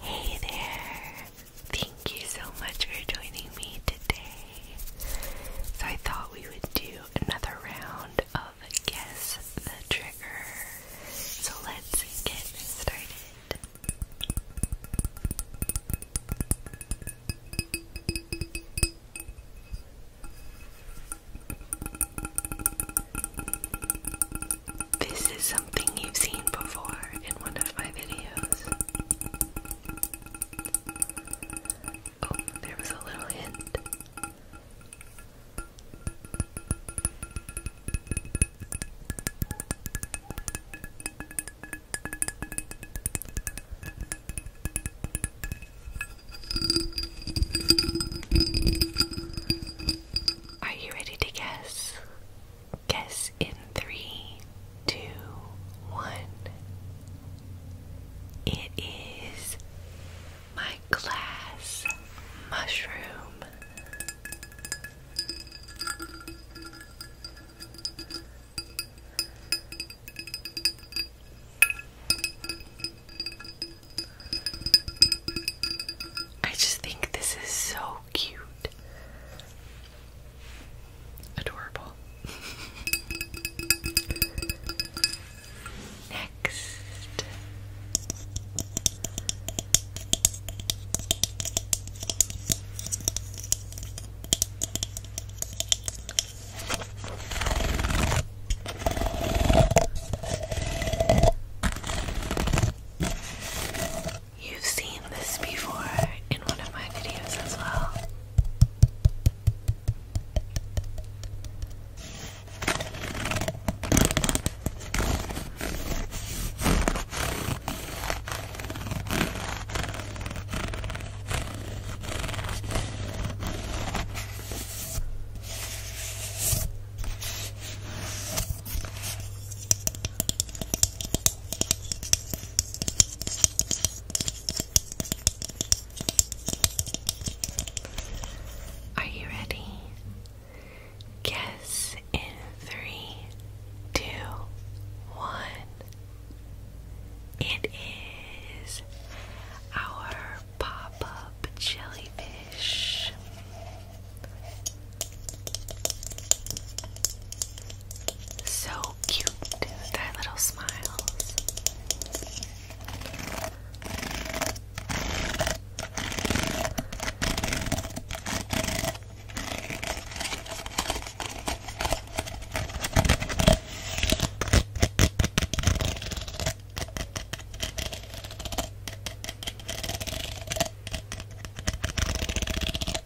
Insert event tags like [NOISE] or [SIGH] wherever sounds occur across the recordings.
Hey there! Thank you so much for joining me today. So, I thought we would do another round of Guess the Trigger. So, let's get started. This is something you've seen before in one of my videos. Oh, there was a little hint. Are you ready to guess? Guess in three, two, one. It is my glass mushroom. I just think this is so cute. Adorable. Next. You've seen this before in one of my videos as well. Are you ready? Guess in three, two, one. It is our pop up jellyfish. So cute, their little smiles.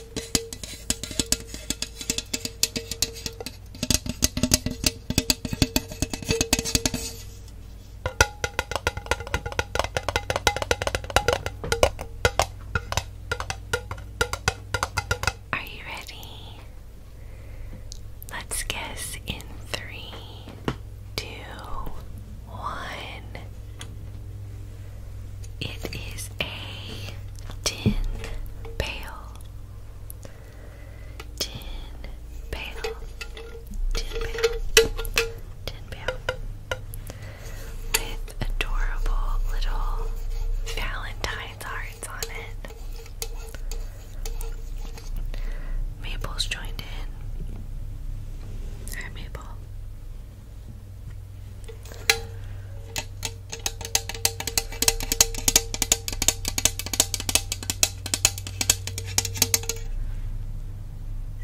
Are you ready? Let's guess in three, two, one. It is a tin pail. Tin pail. Tin pail. Tin pail. With adorable little Valentine's hearts on it. Maple's joined in. Hi, Maple.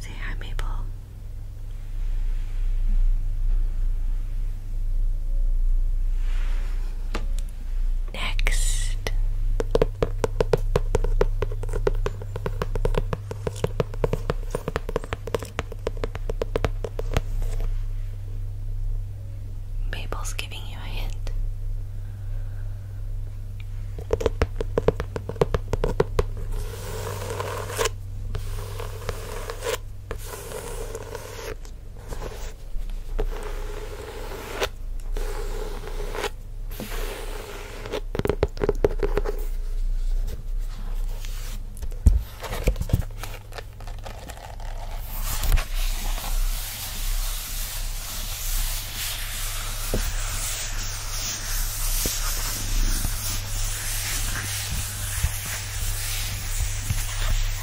Say hi, Maple. Next. Mabel's giving you a hint.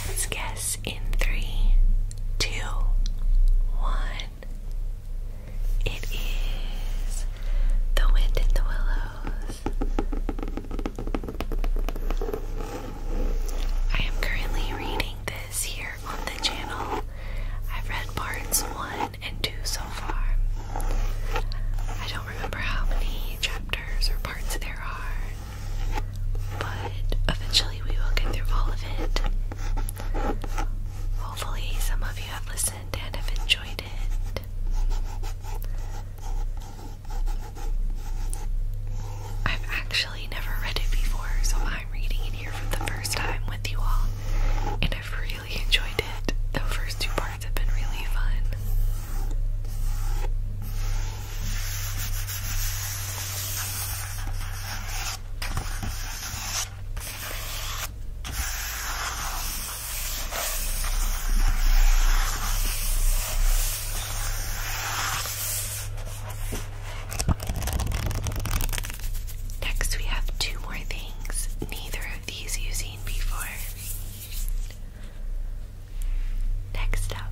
Let's guess in three, two, one. It is The Wind in the Willows I am currently reading this here on the channel. I've read parts one and two so far. I don't remember how many chapters or parts there are, but eventually we will get through all of it. Hopefully, some of you have listened and have enjoyed it. I've actually never read it before, so I'm reading it here for the first time with you all, and I've really enjoyed it. The first two parts have been really fun. Next, we have two more things, neither of these you before. Next up.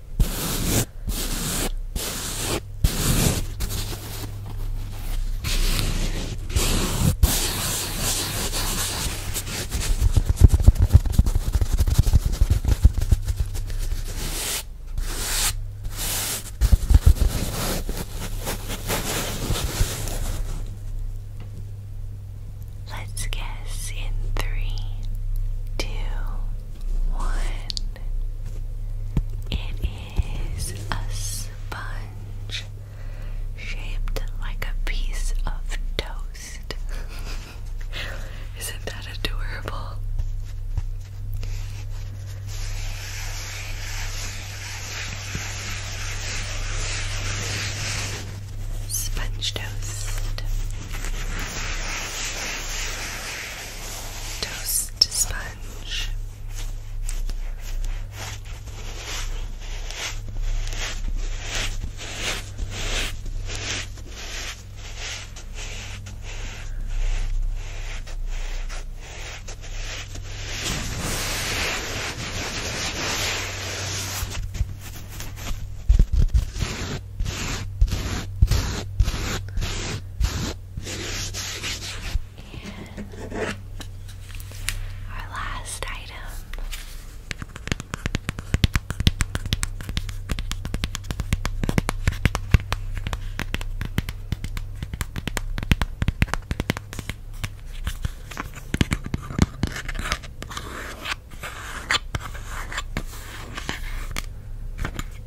Let's guess in three, two, one. It is a sponge shaped like a piece of toast. [LAUGHS] Isn't that adorable? Sponge toast toast sponge. Our last item.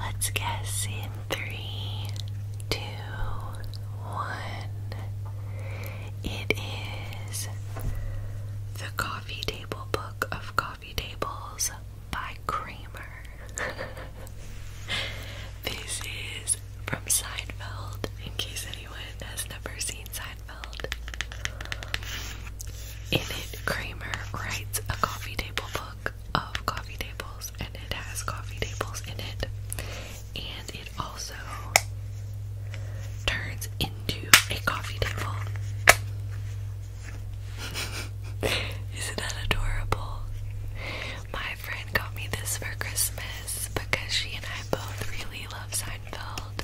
Let's guess in three, two, one. It is the coffee table book of coffee coffee tables by Kramer. [LAUGHS] this is from Seinfeld, in case anyone has never seen Seinfeld. In it, Kramer writes a coffee table book of coffee tables, and it has coffee tables in it. And it also turns into a coffee table. [LAUGHS] Isn't that adorable? My friend got me this for Christmas because she and I both really love Seinfeld.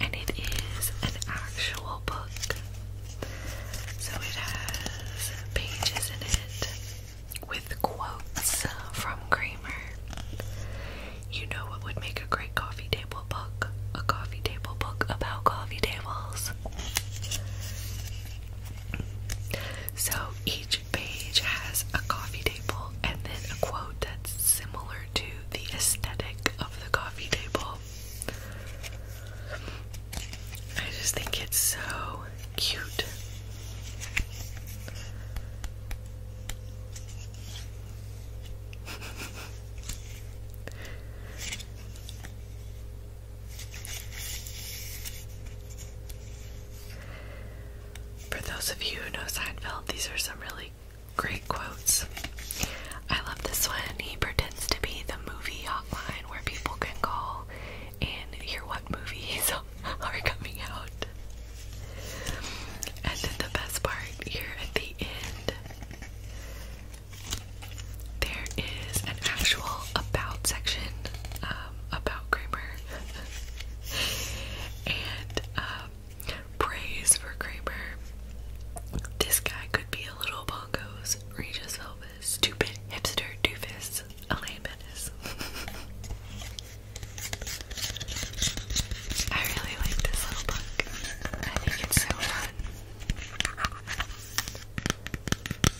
And it is an actual book. So it has pages in it with quotes from Kramer. You know what would make a great coffee table book? A coffee table book about coffee tables. So each page has a coffee table and then a quote that's similar to the aesthetic of the coffee table. I just think it's so cute. [LAUGHS] For those of you who know Seinfeld, these are some really great quotes. I love this one. He pretends to be the movie hotline where people can call and hear what movies [LAUGHS] are coming out. And then the best part here at the end there is an actual about section um, about Kramer [LAUGHS] and um, praise for Kramer. This guy could be a little bongos, Regis Elvis, stupid hipster doofus, Elaine Menace. [LAUGHS] I really like this little book. I think it's so fun.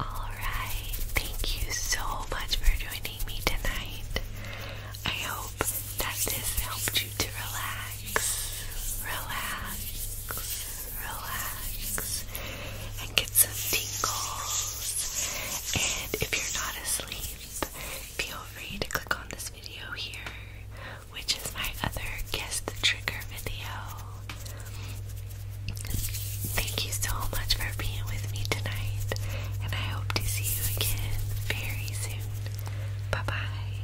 All right, thank you so much for joining me tonight. I hope that this helped you to relax relax, relax, relax, and get some tingles. And if you're not asleep, feel free to click on this video here, which is my other guest Trigger video. Thank you so much for being with me tonight, and I hope to see you again very soon. Bye bye.